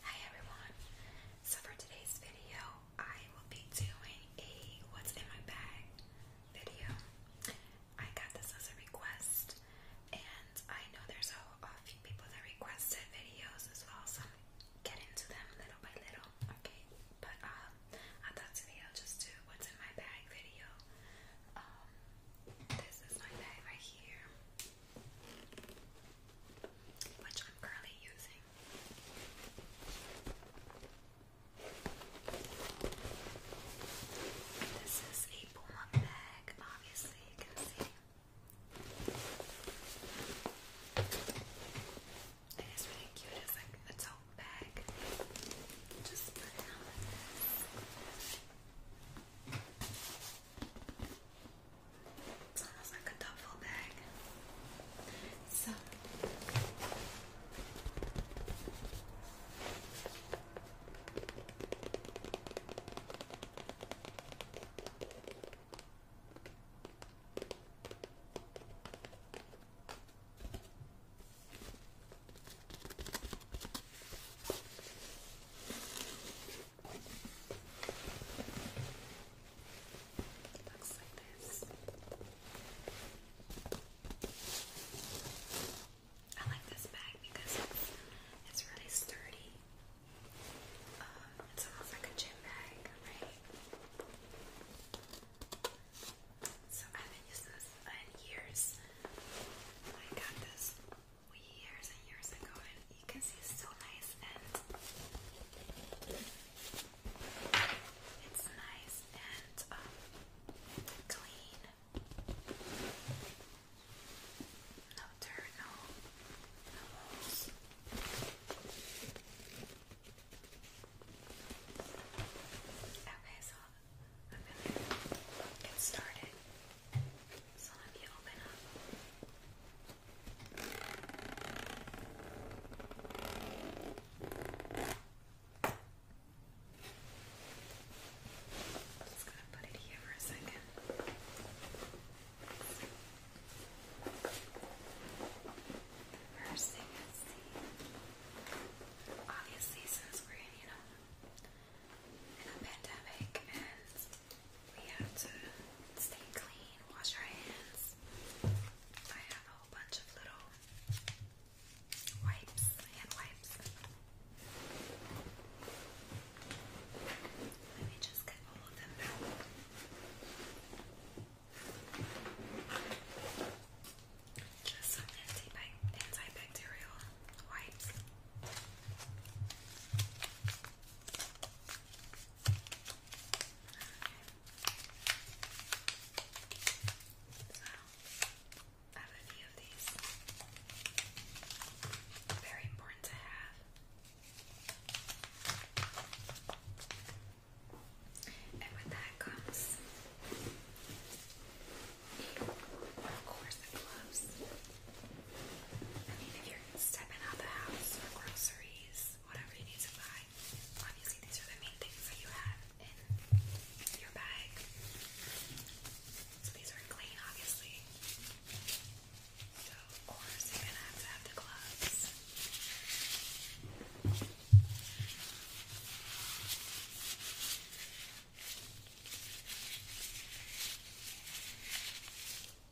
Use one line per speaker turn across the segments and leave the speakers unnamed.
Hi everyone! So for today's video, I will be doing a what's in my bag video. I got this as a request, and I know there's a, a few people that requested videos as well, so I'm getting to them little by little, okay? But um, I thought today I'll just do what's in my bag video. Um, this is my bag right here which I'm currently using. This is a Puma bag, obviously, you can see. It is really cute, it's like a tote bag. Just put down like it's almost like a duffel bag. So it looks I like this bag because it's, really sturdy. Um, it's like a gym bag, right? So I haven't used this in years. I got this years and years ago, and you can see it's so nice and it's nice and um, clean. No dirt, no, holes. Okay, so I'm get started. Some you just gonna put it here for a second. The first thing obviously since we're in, you know, in a pandemic and we have to stay clean, wash our hands. I have a whole bunch of little wipes, hand wipes. Let me just get all of them out. Just some antibacterial wipes. I have a few of these. Very important to have. And with that comes, of course, the gloves. I mean, if you're stepping out the house for groceries, whatever you need to buy, obviously these are the main things that you have in your bag. So these are clean, obviously. So, of course, you're gonna have to have the gloves. Okay.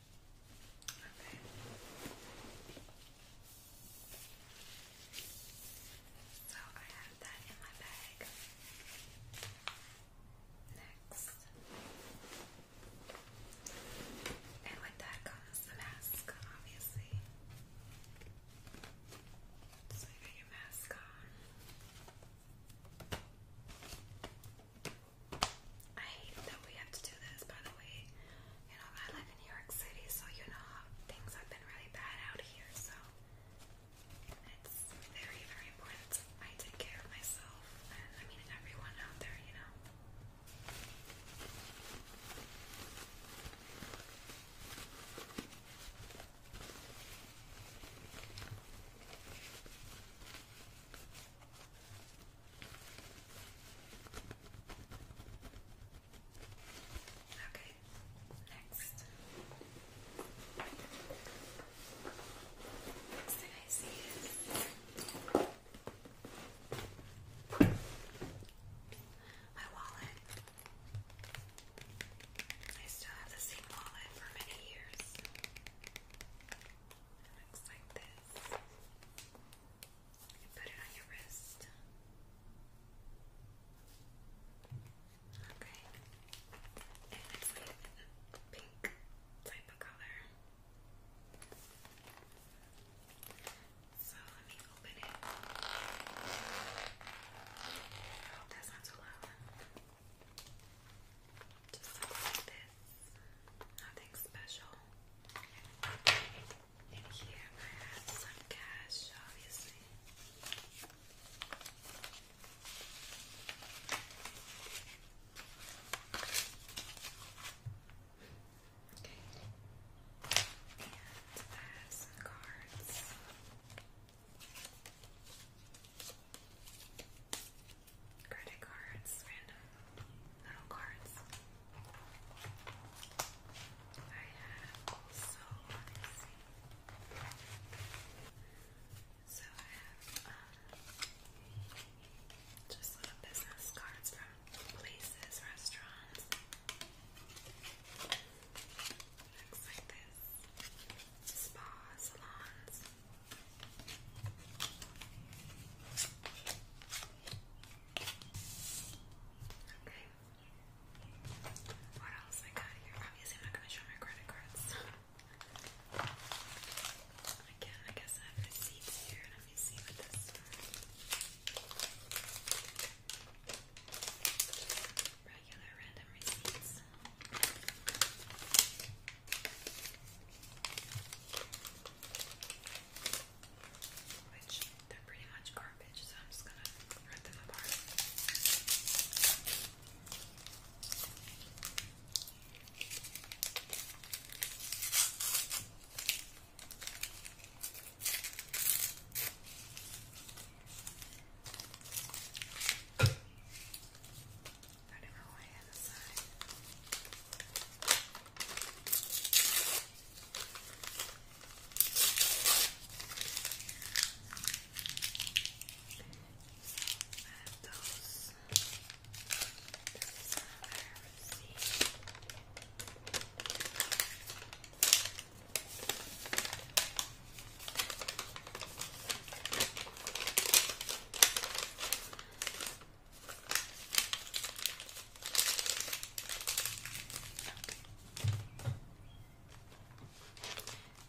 Okay. So I have that in my bag. Next. And with that comes the mask, obviously. So you got your mask on. I hate that we have to do this, by the way. You know, I live in New York City, so you know how things have been really bad out here, so it's very, very important I take care of myself and I mean everyone out there, you know. Okay, next. Next thing I see is my wallet. I still have the same wallet for many years. looks like this. You put it on your wrist. Okay. And it's like a pink type of color. So let me open it. I hope oh, that's not too loud. Just stuff like this. Nothing special. And here I have some cash, obviously. Okay. And I uh, have some cards. Credit cards, random little cards. I have also, let me see. So I have um, just little business cards from places, restaurants. Looks like this. Spa, salons. Okay. What else I got here? Obviously, I'm not going to show my credit cards. Again, I guess I have receipts here. Let me see what this Regular random receipts. Which they're pretty much garbage, so I'm just gonna rip them apart. I don't know why I I have those. This is another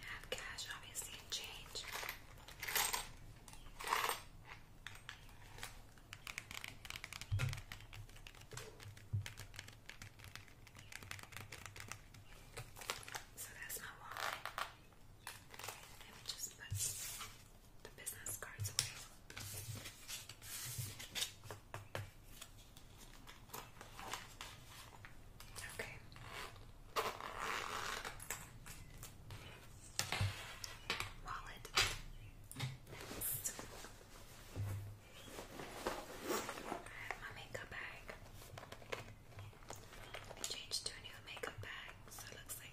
have cash, obviously, and change. So that's my wallet. Let me just put the business cards away. Okay. Wallet. I have my makeup bag. changed to a new makeup bag, so it looks like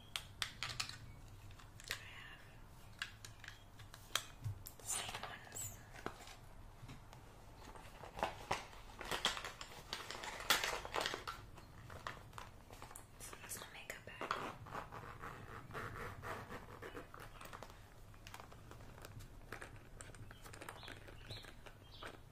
I have the same ones. So that's my makeup bag. I Okay, next.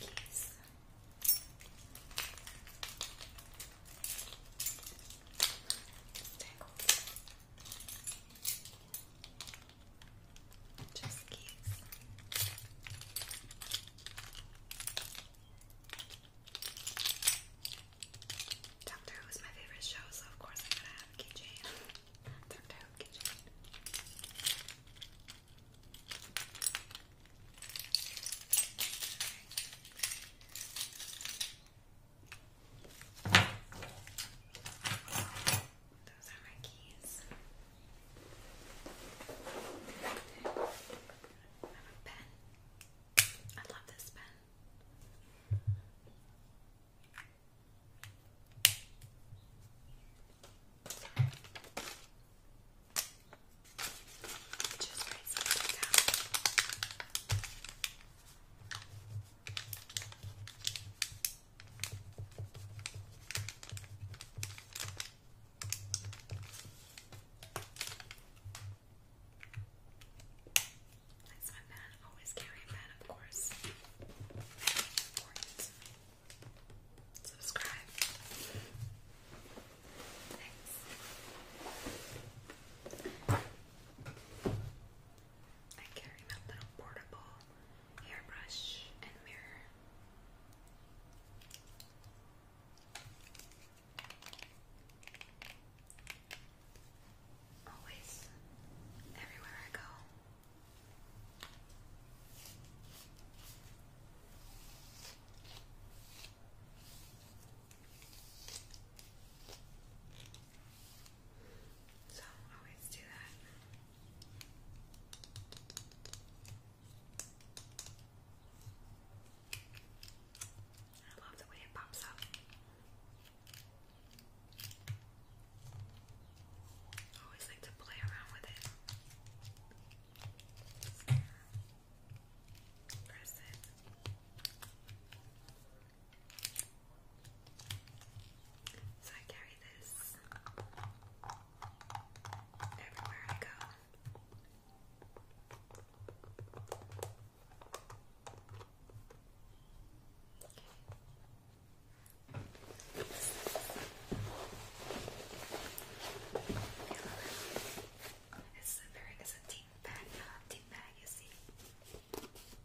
Keys. Just keeps Doctor Who is my favorite show, so of course I'm gonna have keychain. Doctor Who keychain. Those are my keys. I have a pen. I love this pen. Sorry. Just write something down. That's my pen. Always carry a pen, of course. Very important to me subscribe. Thanks. I carry my little portable hairbrush and mirror. Always, everywhere I go. So always do that. I love the way it pops up. always like to play around with it. Press it. So I carry this everywhere I go. Okay. It's very it's a deep bag, deep bag, you see.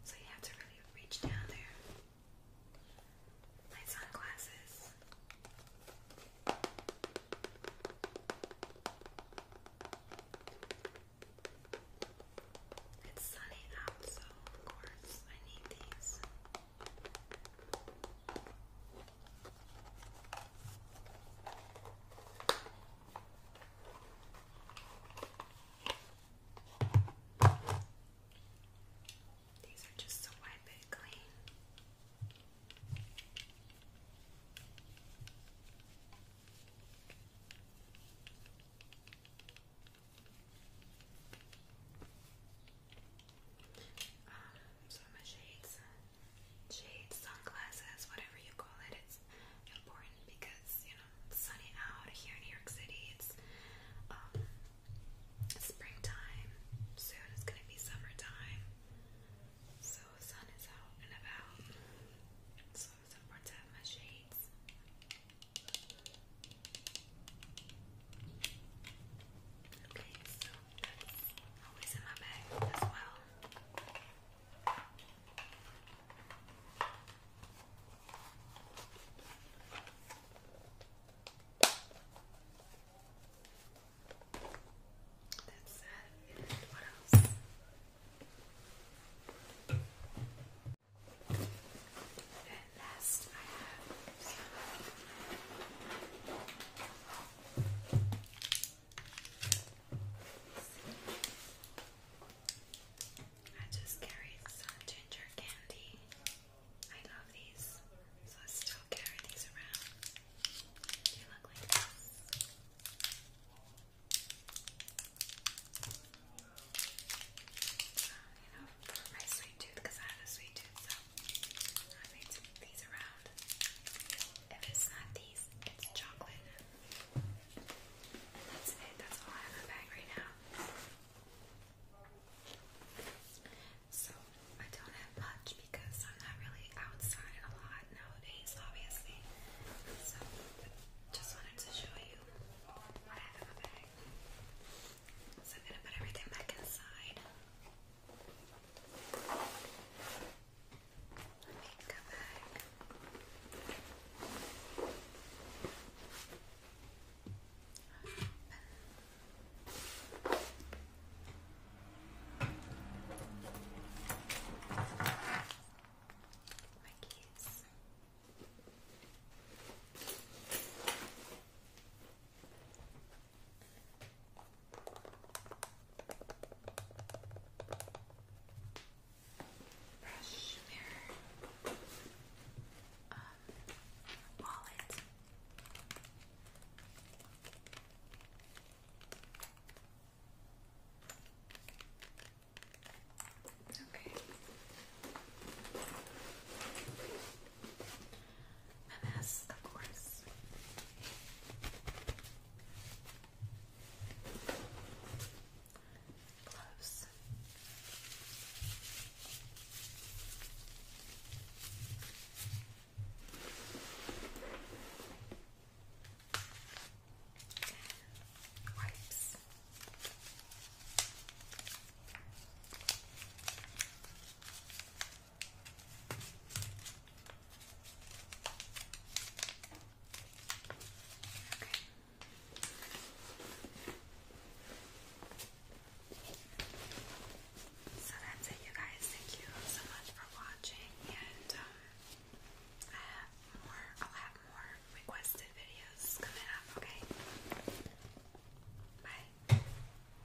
So you have to really reach down there. My sunglasses. It's sunny out, so of course I need these. These are just to wipe it clean. Um, so my shades, shades, sunglasses, whatever you call it, it's important because you know it's sunny out here in New York City. It's um, springtime soon. It's gonna be summertime, so the sun is out and about. So it's important to have my shades. Okay, so always in my bag as well. That's sad. what else? And last, I have I just carry some ginger candy. I love these, so I still carry these around. They look like this. So, uh, you know, for my sweet tooth, I have a sweet tooth, so I made these around. If it's not these, it's chocolate. And that's it. That's all I have in my bag right now. So I don't have much because I'm not really outside a lot nowadays, obviously. So just wanted to show you what I have in my bag. So I'm gonna put everything back inside. Okay, come back. My keys. Okay brush, mirror, um, uh, wallet. Okay. MS, of course. Close. Wipes. So that's it, you guys. Thank you so much for watching, and um, I have more. I'll have more requested videos coming up. Okay. Bye.